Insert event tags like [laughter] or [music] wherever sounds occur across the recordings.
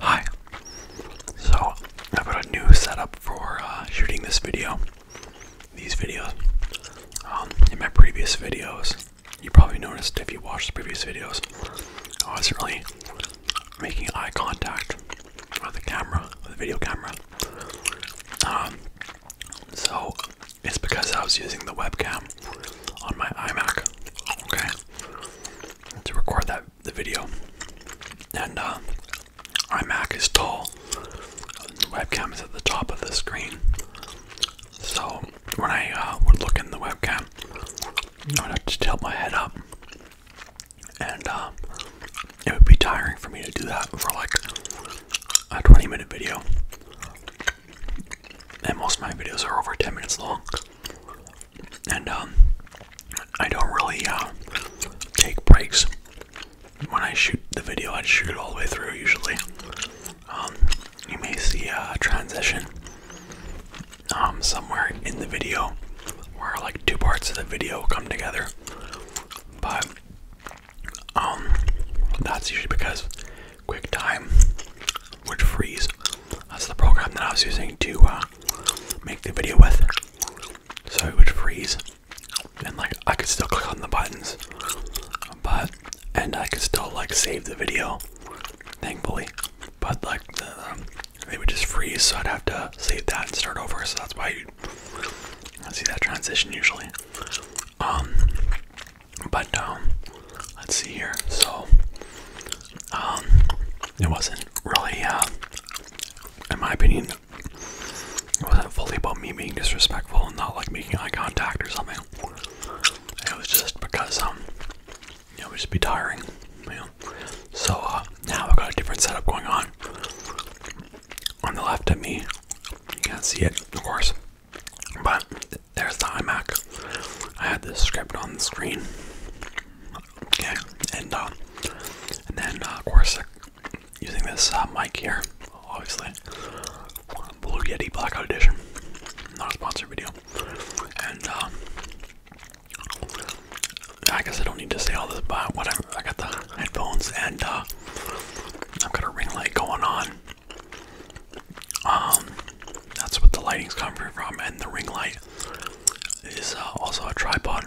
Hi. So I have got a new setup for uh, shooting this video. These videos. Um, in my previous videos, you probably noticed if you watched the previous videos, I wasn't really making eye contact with the camera, with the video camera. Um, so it's because I was using the webcam on my iMac. To record that the video. And uh, iMac is tall. The webcam is at the top of the screen. So when I uh, would look in the webcam, I would have to tilt my head up. And uh, it would be tiring for me to do that for like a 20 minute video. And most of my videos are over 10 minutes long and um, I don't really uh, take breaks. When I shoot the video, I shoot it all the way through usually. Um, you may see a transition um, somewhere in the video where like two parts of the video come together, but that's usually because QuickTime would freeze. That's the program that I was using to. Uh, make the video with. So it would freeze, and like I could still click on the buttons, but and I could still like save the video, thankfully. But like the, um, they would just freeze, so I'd have to save that and start over. So that's why you see that transition usually. Um, but um, let's see here. So um, it wasn't really, uh, in my opinion, it wasn't fully about me being disrespectful and not like making eye contact or something. It was just because, um, you know, it would just be tiring, So, uh, now we have got a different setup going on. On the left of me, you can't see it, of course, but there's the iMac. I had this script on the screen Okay, and uh, and then uh, of course uh, using this uh, mic here, obviously, Blue Yeti Blackout Edition, not a sponsored video, and uh, I guess I don't need to say all this, but whatever. I got the headphones and uh, I've got a ring light going on. Um, that's what the lighting's coming from, and the ring light is uh, also a tripod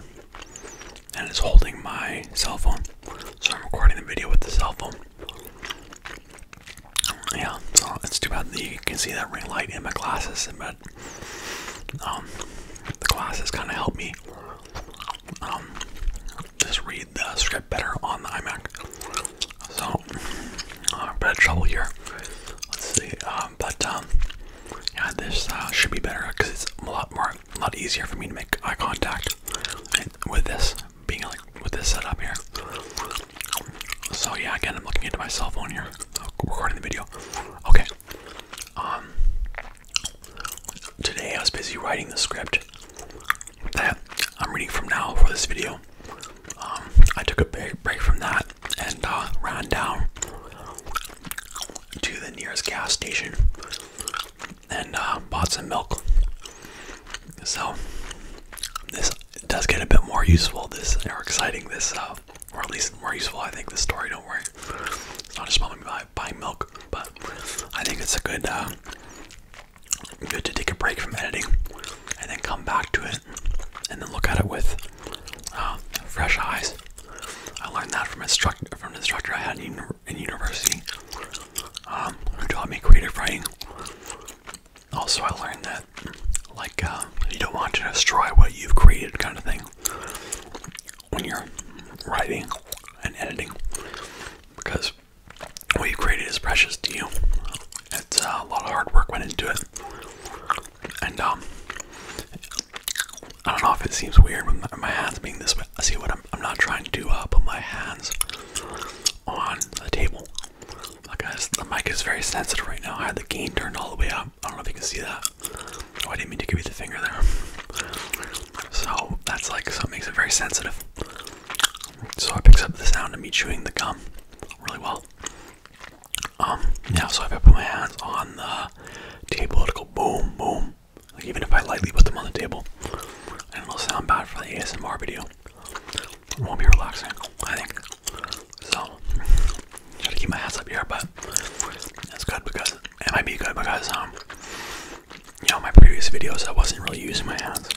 and it's holding my cell phone. So I'm recording the video with the cell phone. Yeah, so it's too bad that you can see that ring light in my glasses, but um, the glasses kind of help me um, just read the script better on the iMac. So, uh, I'm a bit of trouble here. Let's see, um, but um, yeah, this uh, should be better because it's a lot more, a lot easier for me to make eye contact with this being like with this setup here. So yeah, again, I'm looking into my cell phone here, recording the video. Okay. Um. Today I was busy writing the script that I'm reading from now for this video. Um, I took a break from that and uh, ran down to the nearest gas station and uh, bought some milk. So this does get a bit more useful, this or exciting, this uh, or at least more useful. I think the story. Don't worry, it's not just about me buying milk, but I think it's a good, uh, good to take a break from editing and then come back to it and then look at it with um, fresh eyes. I learned that from instruct from an instructor I had in, university um, who taught me creative writing. Also, I learned that like uh, you don't want to destroy what you've created, kind of thing, when you're writing and editing, because what you created is precious to you. It's uh, a lot of hard work went into it. And um, I don't know if it seems weird with my, my hands being this way. I see what I'm. I'm not trying to do. uh, put my hands on the table. Like I, the mic is very sensitive right now. I had the gain turned all the way up. I don't know if you can see that. Oh, I didn't mean to give you the finger there. So that's like so it makes it very sensitive. So I picks up the sound of me chewing the gum really well. Um, yeah, so if I put my hands on the table, to go boom, boom. Like even if I lightly put them on the table, and it'll sound bad for the ASMR video. It won't be relaxing, I think. So, try to keep my hands up here, but that's good because it might be good because um, you know, my previous videos I wasn't really using my hands.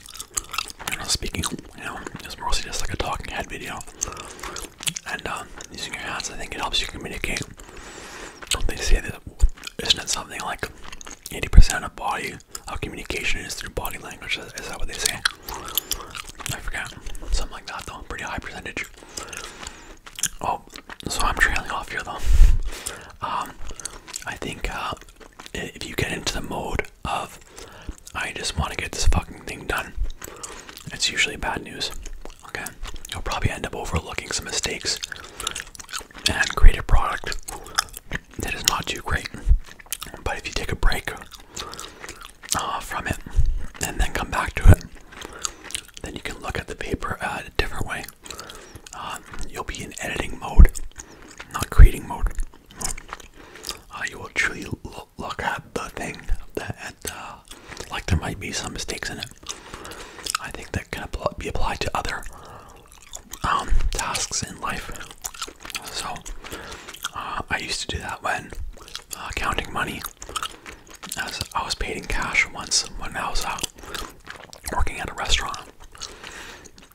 You know, speaking, you know, it's mostly just like a talking head video and um, using your hands, I think it helps you communicate. Don't They say that isn't it something like 80% of body of communication is through body language? Is, that what they say? I forgot. Something like that, though. Pretty high percentage. Oh, so I'm trailing off here, though. Um, I think uh, if you get into the mode of I just want to get this fucking thing done. It's usually bad news. Okay, you'll probably end up overlooking some mistakes and create a product that is not too great. But if you take a break uh, from it and then come back to it, then you can look at the paper a different way. Uh, you'll be in editing mode, not creating mode. Uh, you will truly look at the thing, the uh, like there might be some mistakes in it. I think that can be applied to other um, tasks in life. So uh, I used to do that when uh, counting money. As I was paid in cash once when I was uh, working at a restaurant.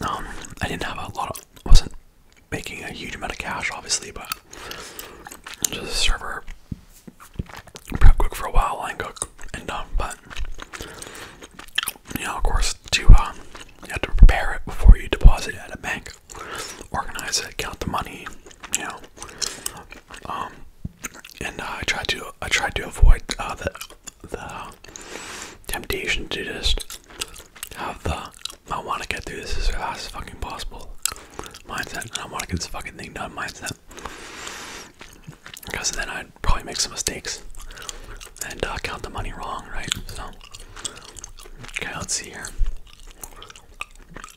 Um, I didn't have a lot of, wasn't making a huge amount of cash, obviously, but just a server prep cook for a while, line cook, and um, but you know, of course, to um, you have to prepare it before you deposit it at a bank, organize it, count the money, you know, um, and uh, I tried to I try to avoid uh, the the temptation to just have the I want to get through this as fast as fucking possible mindset, and I want to get this fucking thing done mindset. Because then I'd probably make some mistakes and uh, count the money wrong, right? So, okay, let's see here.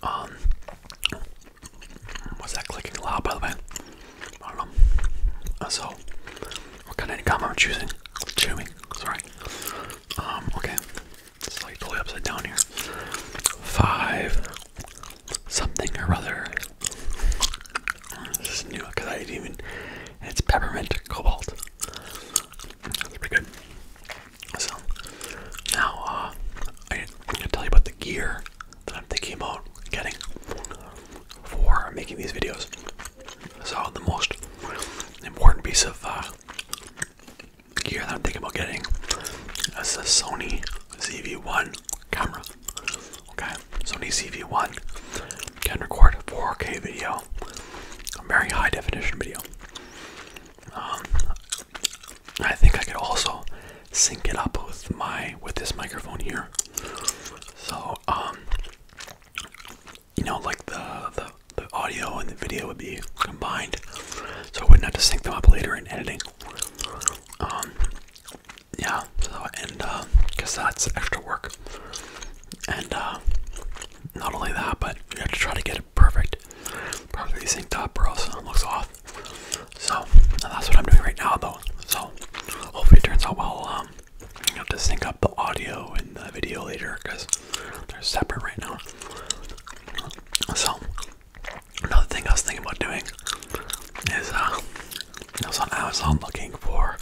Um, was that clicking loud? By the way, I don't know. Uh, so, what kind of income I'm choosing? Chewing, sorry. Um, okay. It's like slightly upside down here. Five something or other. This is new because I didn't even. It's peppermint cobalt. That's pretty good. So now uh, I, am gonna tell you about the gear that I'm thinking about getting for making these videos. So the most important piece of uh, gear that I'm thinking about getting is the Sony ZV-1 camera. Okay, Sony ZV-1 can record 4K video, a very high definition video. Um, I think I could also sync it up with my with this microphone here. So, um, you know, like the the audio and the video would be combined, so I wouldn't have to sync them up later editing. Um, yeah, so, and, uh, because that's extra work. And, uh, not only that, but you have to try to get it perfect, perfectly synced up, or else it looks off. So, that's what I'm doing right now, though. So, hopefully it turns out well. Um, you have to sync up the audio and the video later because they're separate right now. So, Another thing I was thinking about doing is uh, I was on Amazon looking for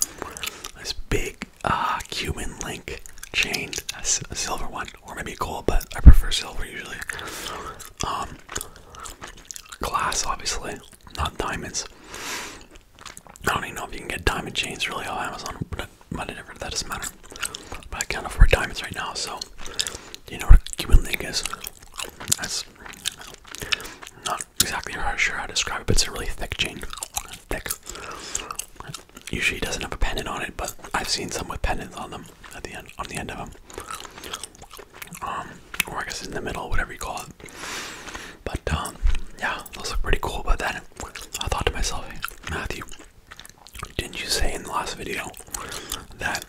this big uh, Cuban link chain, a silver one, or maybe gold, but I prefer silver usually. Um, glass, obviously, not diamonds. I don't even know if you can get diamond chains really on Amazon, but, but it that doesn't matter. But I can't afford diamonds right now, so you know what a Cuban link is. That's not exactly how sure how to describe it, but it's a really thick chain. Thick. Usually doesn't have a pendant on it, but I've seen some with pendants on them at the end on the end of them. Um, or I guess in the middle, whatever you call it. But um, yeah, those look pretty cool. But then I thought to myself, Matthew, didn't you say in the last video that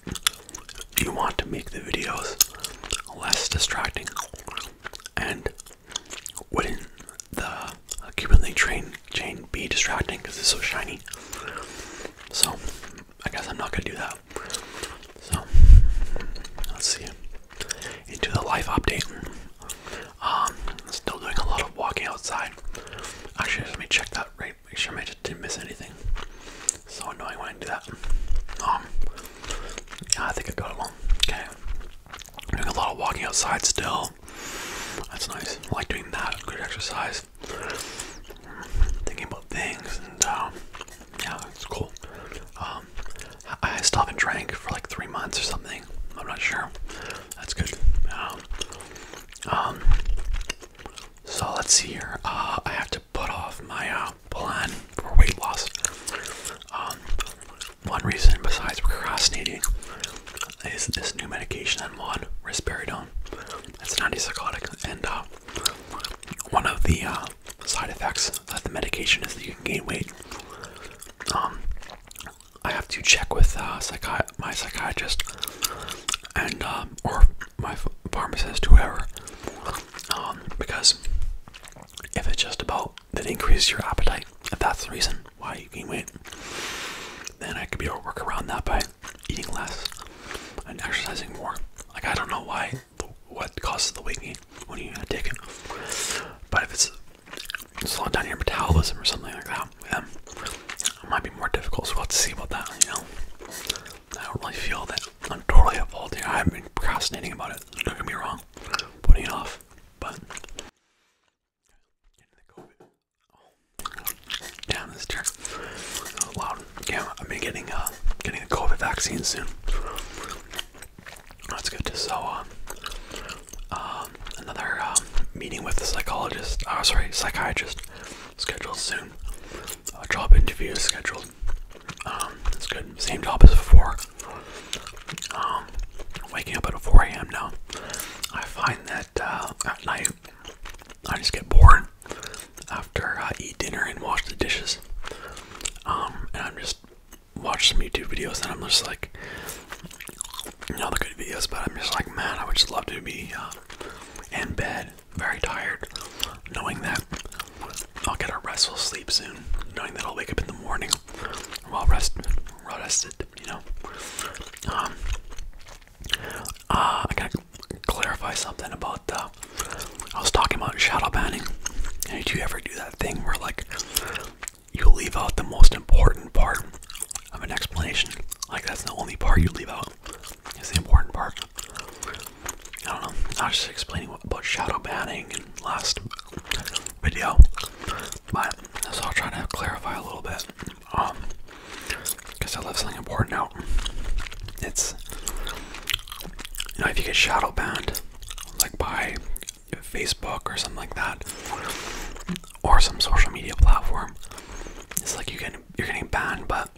you want to make the videos less distracting and wouldn't the Cuban link train chain be distracting because it's so shiny so I guess I'm not gonna do that so let's see into the life update um still doing a lot of walking outside actually let me check that right. Make sure I didn't miss anything. So annoying when I do that. Um, I think I got along. Okay, doing a lot of walking outside still. That's nice. I like doing that. Good exercise. Thinking about things and um, yeah, it's cool. Um, I stopped and drank for like three months or something. I'm not sure. That's good. Um, um, so let's see here. Uh, I have to put off my uh, plan for weight loss. Um, one reason besides procrastinating is this new medication I'm on, It's an antipsychotic, and uh, one of the side effects of the medication is that you can gain weight. Um, I have to check with my psychiatrist and um, or my pharmacist, whoever, um, because if it's just about that increases your appetite, if that's the reason why you gain weight, then I could be able to work around that by eating less and exercising more. Like I don't know why, what causes the weight gain when you take but if it's slowing down your metabolism or something like that that with them. It might be more difficult, so we'll have to see about that, you know. I don't really feel that I'm totally at fault here. I've been procrastinating about it, don't get me wrong, putting it off, but. Oh. Damn, this chair is loud. Yeah, I've been getting, uh, getting the COVID vaccine soon. That's good. So, um, um, another um, meeting with the psychologist, oh, sorry, psychiatrist scheduled soon. A job interview is scheduled. Um, it's good. Same job as before. Um, waking up at 4 a.m. now. I find that uh, at night I just get bored after I eat dinner and wash the dishes. Um, and I'm just watch some YouTube videos and I'm just like, you good videos, but I'm just like, man, I would just love to be uh, in bed bed, very tired, knowing that I'll get a restful sleep soon, knowing that I'll wake up in the morning well rested, well rested, you know. Um, uh, I gotta clarify something about the. I was talking about shadow banning. Did you ever do that thing where like you leave out the most important part of an explanation? Like that's the only part you leave out is the important part. I don't know. I was just explaining about shadow banning in last video, but so I'll try to clarify a little bit. because um, I left something important out. It's you know if you get shadow banned, like by Facebook or something like that, or some social media platform, it's like you get you're getting banned, but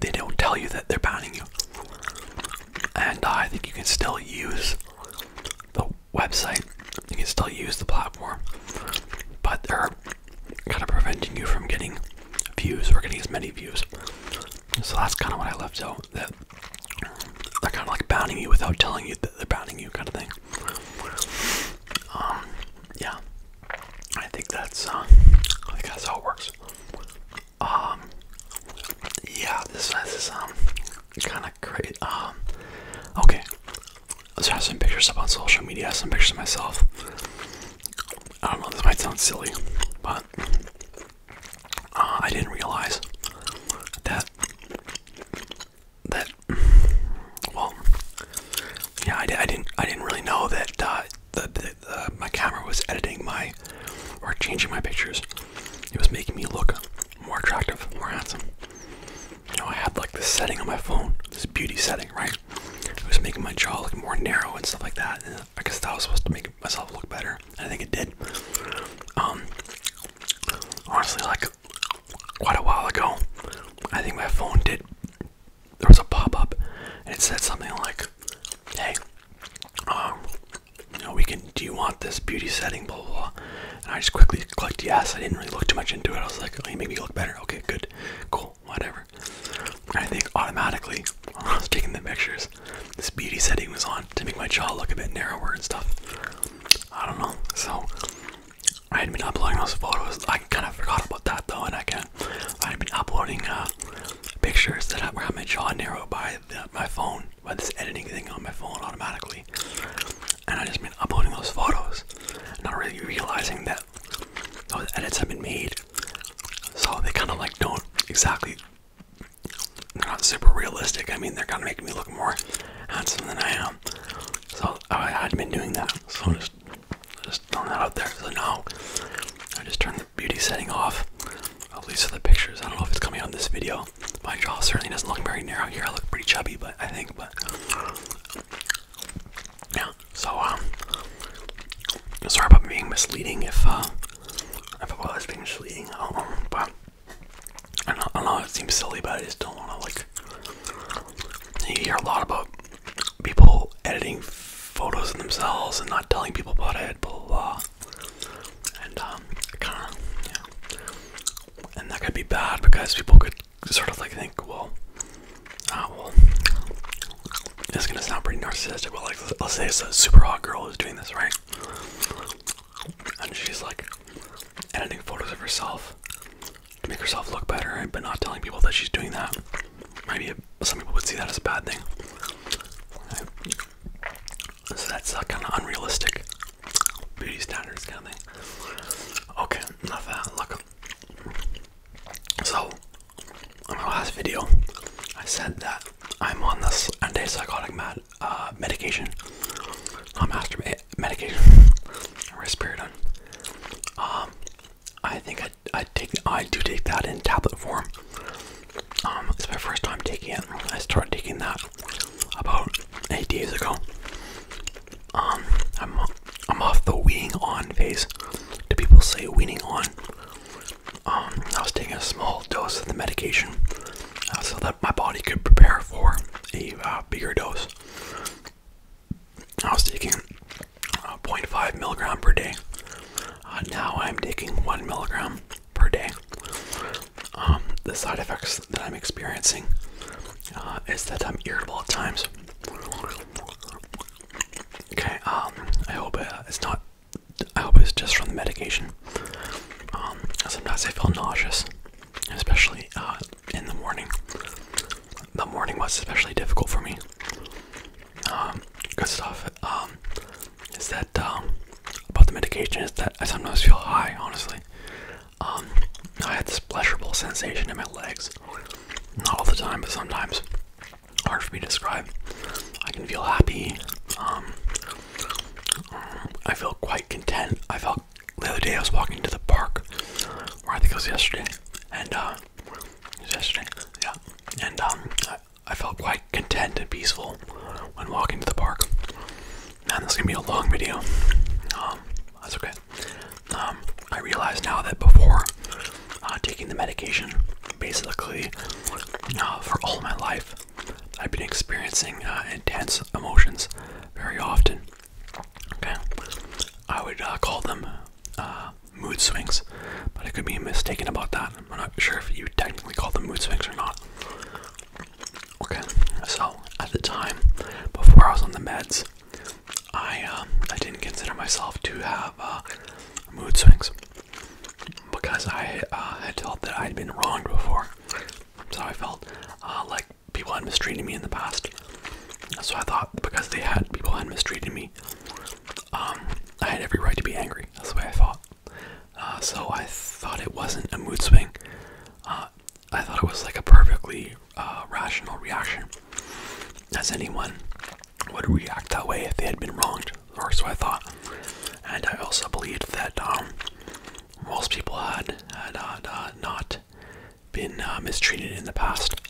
they don't tell you that they're banning you. And I think you can still use the website, you can still use the platform, but they're kind of preventing you from getting views or getting as many views. So that's kind of what I left out. That they're kind of like banning you without telling you that they're banning you, kind of thing. Um, yeah, I think that's uh, that's how it works. Um, yeah, this, is kind of great. okay, let's have some pictures up on social media. Some pictures of myself. I don't know. This might sound silly, but uh, I didn't realize that that well, yeah, I, didn't. I didn't really know that uh, my camera was editing my or changing my pictures. It was making me look more attractive, more handsome. You know, I had like the setting on my phone, this beauty setting, right? It was making my jaw look more narrow and stuff like that. And I guess that was supposed to make myself look better. I think it did. Um, honestly, like quite a while ago, I think my phone did there was a pop-up and it said something like hey um we can do you want this beauty setting blah blah and i just quickly clicked yes i didn't really look too much into it i was like oh you make me look better okay good cool whatever and i think automatically [laughs] i was taking the pictures this beauty setting was on to make my jaw look a bit narrower and stuff i don't know so i had been uploading those photos i kind of forgot about that though and i kind uh, I've been uploading uh, pictures that have where jaw narrowed by my phone, by this editing thing on my phone automatically. And I just been uploading those photos, not really realizing that those edits have been made. So they kind of like don't exactly, they're not super realistic. I mean, they're kind of making me look more handsome than I am. So I had been doing that. So just throwing that out there. So now I just turned the beauty setting off. At least for the pictures. I don't know if it's coming on this video. My jaw certainly doesn't look very narrow here. I look pretty chubby, but I think, but yeah. So um, sorry about being misleading. If uh, if I was being misleading, um, but I I don't know. It seems silly, but I just don't want to like. You hear a lot about people editing photos of themselves and not telling people about it, blah blah. And um, kind of, yeah. And that could be bad because people could sort of like think, well, ah, well, this is gonna sound pretty narcissistic, Well, like, let's say it's a super hot girl who's doing this, right? And she's like editing photos of herself to make herself look better, but not telling people that she's doing that. Maybe some people would see that as a bad thing. So that's kind of unrealistic beauty standards kind of thing. Okay, enough that. Look. So, on my last video, I said that I'm on this antipsychotic med uh, medication, not masturbate medication, risperidone. Um, I think i take, I do take that in tablet form. Um, it's my first time taking it. I started taking that about eight days ago. Um, I'm, I'm off the weaning on phase. Do people say weaning on? Um, I was taking a small dose of the medication uh, so that my body could prepare for a uh, bigger dose. I was taking uh, 0.5 milligram per day. and uh, now I'm taking one milligram per day. Um, the side effects that I'm experiencing uh, is that I'm irritable at times. Okay, um, I hope it's not. I hope it's just from the medication. Um, sometimes I feel nauseous, especially in the morning. The morning was especially difficult for me. Um, good stuff um, is that um, about the medication is that I sometimes feel high, honestly. I had this pleasurable sensation in my legs. Not all the time, but sometimes. Hard for me to describe. I can feel happy. I feel quite content. I felt the other day I was walking to the park, where I think it was yesterday, and uh, yesterday. Yeah, and um, I, felt quite content and peaceful when walking to the park. Man, this is gonna be a long video. Um, that's okay. Um, I realized now that before uh, taking the medication, basically uh, for all my life, I've been experiencing uh, intense emotions very often. Okay, I would call them uh, mood swings, but I could be mistaken about that. I'm not sure if you technically call them mood swings or not. Okay, so at the time, before I was on the meds, I um, I didn't consider myself to have uh, mood swings because I uh, had felt that I had been wronged before. So I felt like people had mistreated me in the past. So I thought because they had people had mistreated me um, I had every right to be angry. That's the way I thought. Uh, so I thought it wasn't a mood swing. Uh, I thought it was like a perfectly uh, rational reaction, as anyone would react that way if they had been wronged, or so I thought. And I also believed that um, most people had had not been uh, mistreated in the past,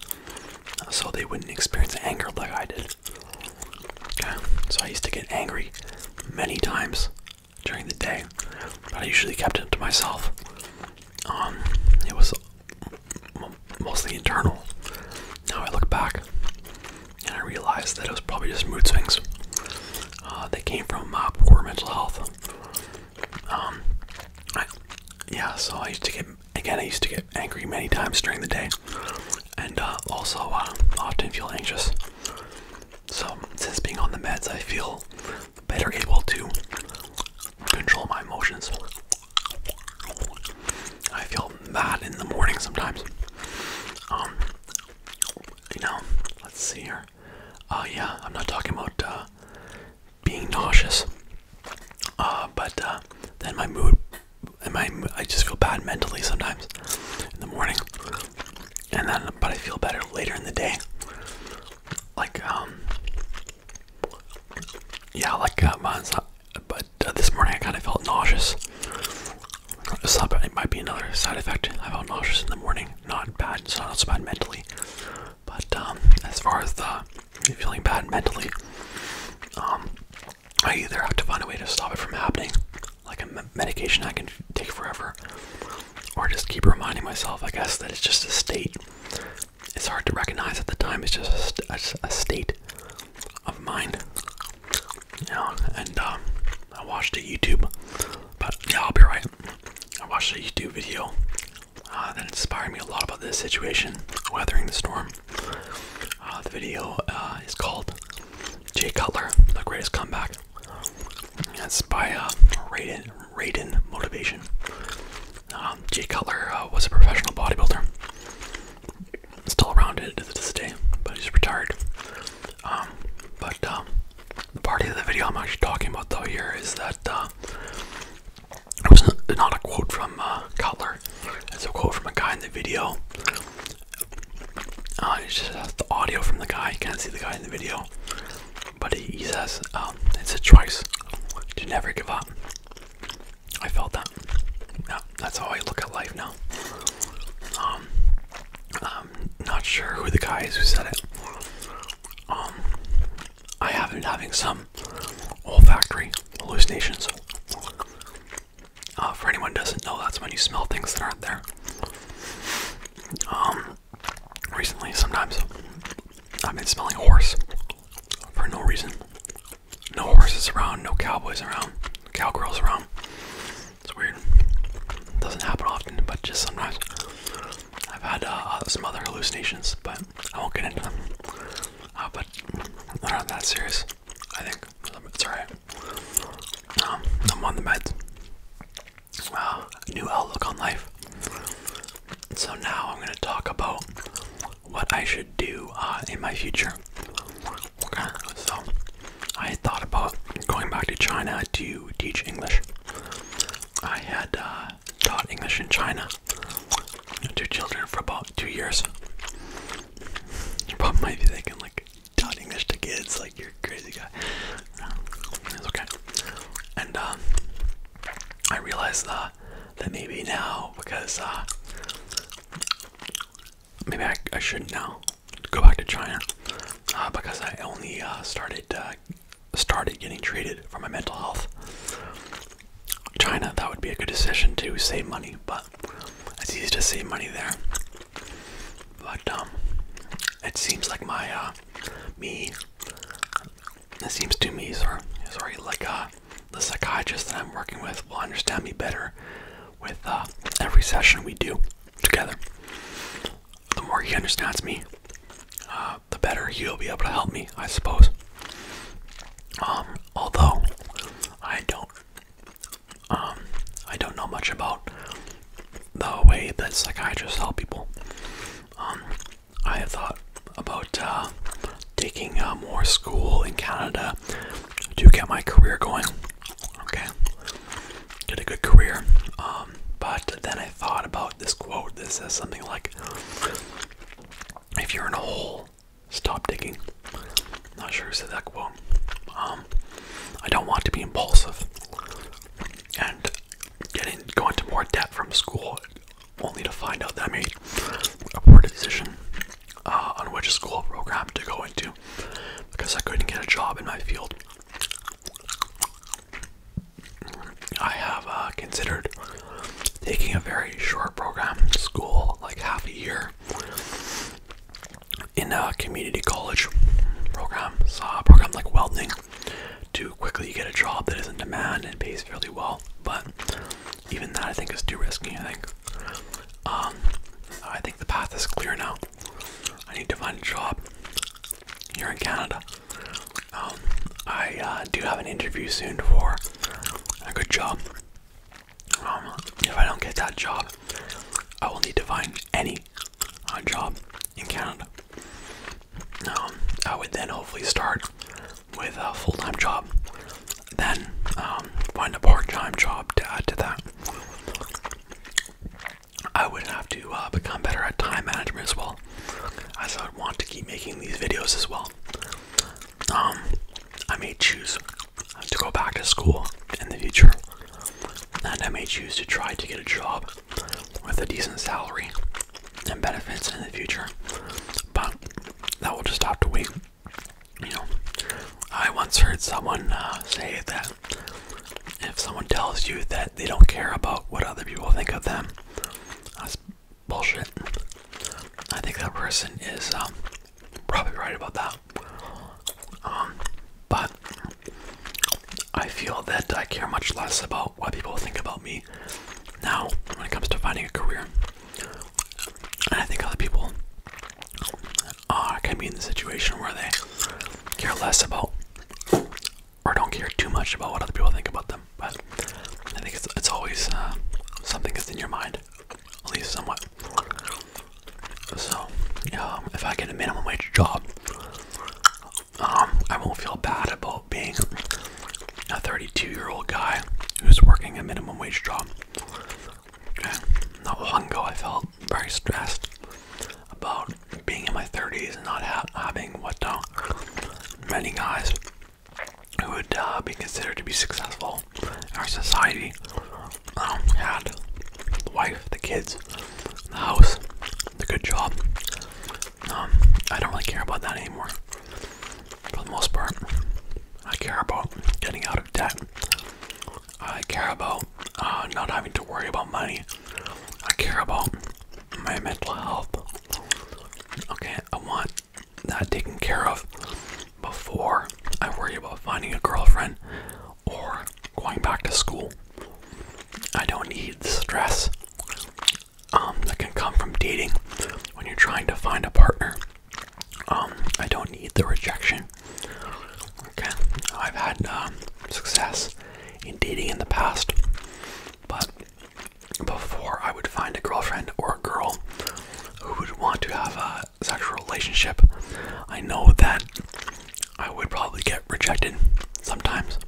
so they wouldn't experience anger like I did. so I used to get angry many times during the day, but I usually kept it to myself. Um, it was mostly internal. Now I look back and I realize that it was probably just mood swings. Uh, they came from uh, poor mental health. Um, yeah, so I used to get Again, I used to get angry many times during the day, and uh, also uh, often feel anxious. So, since being on the meds, I feel better able to control my emotions. I feel mad in the morning sometimes. Um, you know, let's see here. Oh yeah, I'm not talking about being nauseous. Uh, but uh, then my mood, and my I just feel bad mentally sometimes in the morning, and then but I feel better later in the day. Like um, yeah, like uh, not, but uh, this morning I kind of felt nauseous. it might be another side effect. I felt nauseous in the morning. Not bad. It's not so bad mentally. But um, as far as the I'm feeling bad mentally, um, I either have to find a way to stop it from happening, like a medication I can take forever, or just keep reminding myself, I guess, that it's just a state. It's hard to recognize at the time, it's just a, state of mind. You know, and um, I watched a YouTube, but yeah, I'll be right. I watched a YouTube video uh, that inspired me a lot about this situation, weathering the storm. Uh, the video uh, is called Jay Cutler, The Greatest Comeback. That's by uh, Raiden, Raiden Motivation. Um, Jay Cutler was a professional bodybuilder. Still around it to this day, but he's retired. Um, but um, the part of the video I'm actually talking about though here is that it was not a quote from uh, Cutler. It's a quote from a guy in the video. Uh, it's just the audio from the guy. You can't see the guy in the video. But he, says, um, it's a choice to never give up. I felt that. that's how I look at life now. Um, I'm not sure who the guy is who said it. Um, I have been having some olfactory hallucinations. Uh, for anyone who doesn't know, that's when you smell things that aren't there. Um, recently, sometimes I've been smelling a horse for no reason. No horses around, no cowboys around, cowgirls around. It's weird. It doesn't happen often, but just sometimes. I've had uh, some other hallucinations, but I won't get into them. Uh, but not that serious. I think it's alright. Um, I'm on the meds. Wow, new outlook on life. So now I'm gonna talk about what I should do uh, in my future. so I thought about going back to China to teach English. I had uh, taught English in China two children for about two years. You probably might be thinking, like, taught English to kids, like, you're crazy guy. it's okay. And um, I realized uh, that maybe now, because uh, maybe I, I shouldn't now go back to China uh, because I only uh, started started getting treated for my mental health China, that would be a good decision to save money, but it's easy to save money there. But um, it seems like my uh, me. It seems to me, sorry, sorry, like uh, the psychiatrist that I'm working with will understand me better with uh, every session we do together. The more he understands me, uh, the better he'll be able to help me, I suppose. Um, although I don't, um, I don't know much about the way that psychiatrists help people. Um, I had thought about uh, taking uh, more school in Canada to get my career going. Okay, get a good career. but then I thought about this quote This says something like, "If you're in a hole, Stop digging. Not sure who said that quote. Um, I don't want to be impulsive. And getting going into more debt from school only to find out that I made a poor decision uh, on which school program to go into because I couldn't get a job in my field. I have uh, considered taking a very short program school, like half a year, in a community college program, saw a program like welding, to quickly get a job that isn't demand and pays fairly well. But even that, I think, is too risky. I think. Um, I think the path is clear now. I need to find a job here in Canada. Um, I uh, do have an interview soon for a good job. Um, if I don't get that job, I will need to find any uh, job in Canada. Um, I would then hopefully start with a full time job, then um, find a part time job to add to that. I would have to uh, become better at time management as well, as I would want to keep making these videos as well. I may choose to go back to school in the future, and I may choose to try to get a job with a decent salary and benefits in the future. But that will just have to wait. You know, I once heard someone uh, say that if someone tells you that they don't care about what other people think of them, bullshit. I think that person is um, probably right about that. Um, but I feel that I care much less about what people think about me now when it comes to finding a career. And I think other people uh, can be in the situation where they care less about or don't care too much about what other people think about them. But I think it's it's always uh, something that's in your mind, at least somewhat. So, um, if I get a minimum wage job, um, I won't feel bad about being a 32-year-old guy who's working a minimum wage job. Not one go, I felt very stressed about being in my 30s and not having what uh, many guys who would uh, be considered to be successful in our society um, had the wife, the kids, the house, the good job. Um, I don't really care about that anymore. For the most part, I care about getting out of debt. I care about uh, not having to worry about money. I care about my mental health. Okay, I want that taken care of before I worry about finding a girlfriend or going back to school. I don't need the stress um, that can come from dating when you're trying to find a partner. Um, I don't need the rejection. Okay, I've had um, success in dating in the past, but before I would find a girlfriend or a girl who would want to have a sexual relationship, I know that I would probably get rejected sometimes.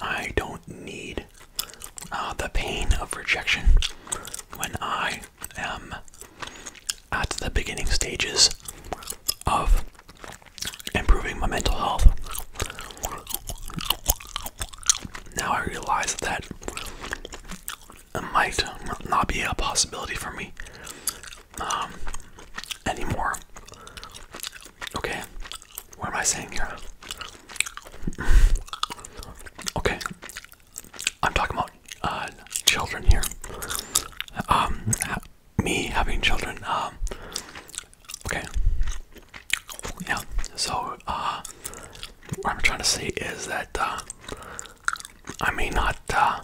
I don't need uh, the pain of rejection when I am at the beginning stages of improving my mental health. Now I realize that it might not be a possibility for me um, anymore. Okay, what am I saying here? [laughs] okay, I'm talking about uh, children here. Um, me having children. Um, okay, yeah. So, uh, what I'm trying to say is that uh, I may not uh,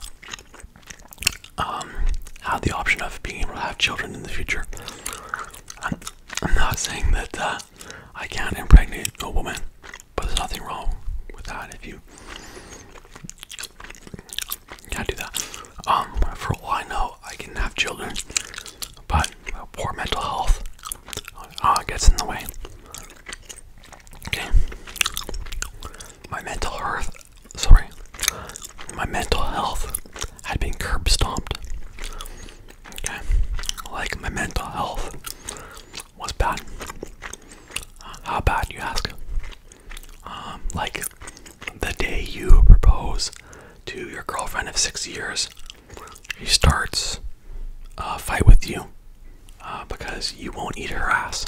um, have the option of being able to have children in the future. I'm, not saying that uh, I can't impregnate a woman, but there's nothing wrong with that if you can't do that. Um, for all I know, I can have children, but poor mental health uh, gets in the way. Okay, my mental health, sorry, my mental health had been curb stomped. Okay, like my mental health was bad. how bad, you ask? Um, like the day you propose to your girlfriend of six years, she starts a uh, fight with you uh, because you won't eat her ass.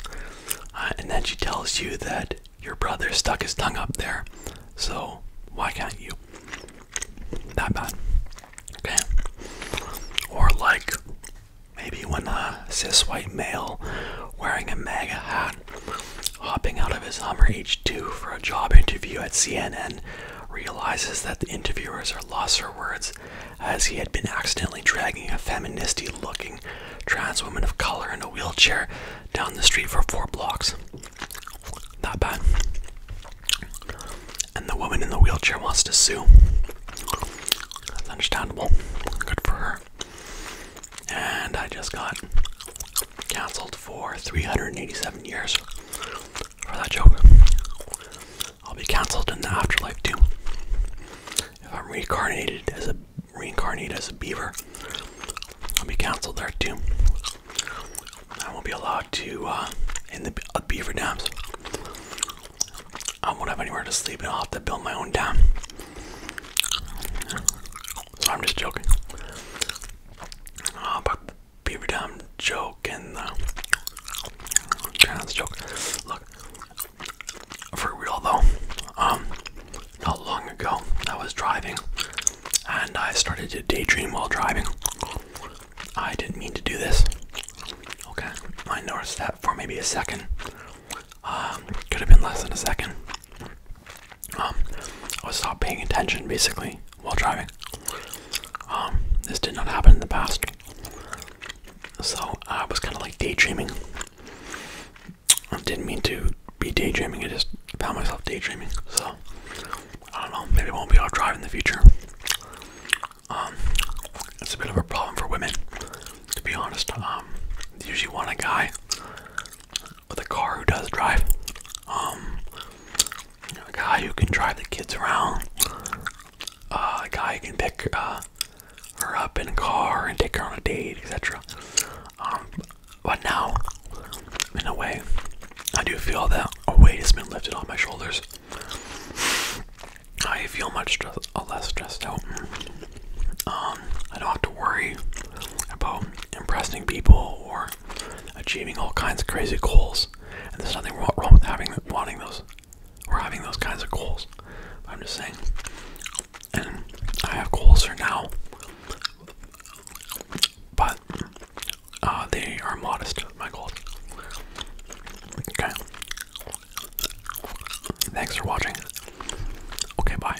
Uh, and then she tells you that your brother stuck his tongue up there. So why can't you? That bad. Okay. Or like maybe when a cis white male wearing a MAGA hat hopping out of his Hummer H2 for a job interview at CNN realizes that the interviewers are lost for words as he had been accidentally dragging a feministy looking trans woman of color in a wheelchair down the street for four blocks. Not bad. And the woman in the wheelchair wants to sue. That's understandable. Good for her. And I just got cancelled for 387 years for that joke. I'll be cancelled in the afterlife too. If I'm reincarnated as a reincarnated as a beaver, I'll be cancelled there too. I won't be allowed to uh, in the beaver dams. I won't have anywhere to sleep, and I'll have to build my own dam. So I'm just joking. Uh, but beaver dam joke and the trans joke. Look, for real though, um, not long ago I was driving and I started to daydream while driving. I didn't mean to do this. Okay, I noticed that for maybe a second. Um, could have been less than a second. Um, I was not paying attention basically while driving. Um, this did not happen in the past. So I was kind of like daydreaming. I didn't mean to be daydreaming, I just found myself daydreaming. So I don't know, maybe it won't be our drive in the future. Um, it's a bit of a problem for women, to be honest. Um, usually want a guy with a car who does drive. Um, a guy who can drive the kids around, uh, a guy who can pick uh, her up in a car and take her on a date, etc. Um, but now, in a way, I do feel that a weight has been lifted off my shoulders. I feel much less stressed out. Um, I don't have to worry about impressing people or achieving all kinds of crazy goals and there's nothing wrong with having wanting those or having those kinds of goals. I'm just saying, and I have goals for now, but uh, they are modest. My goals. Okay. Thanks for watching. Okay, bye.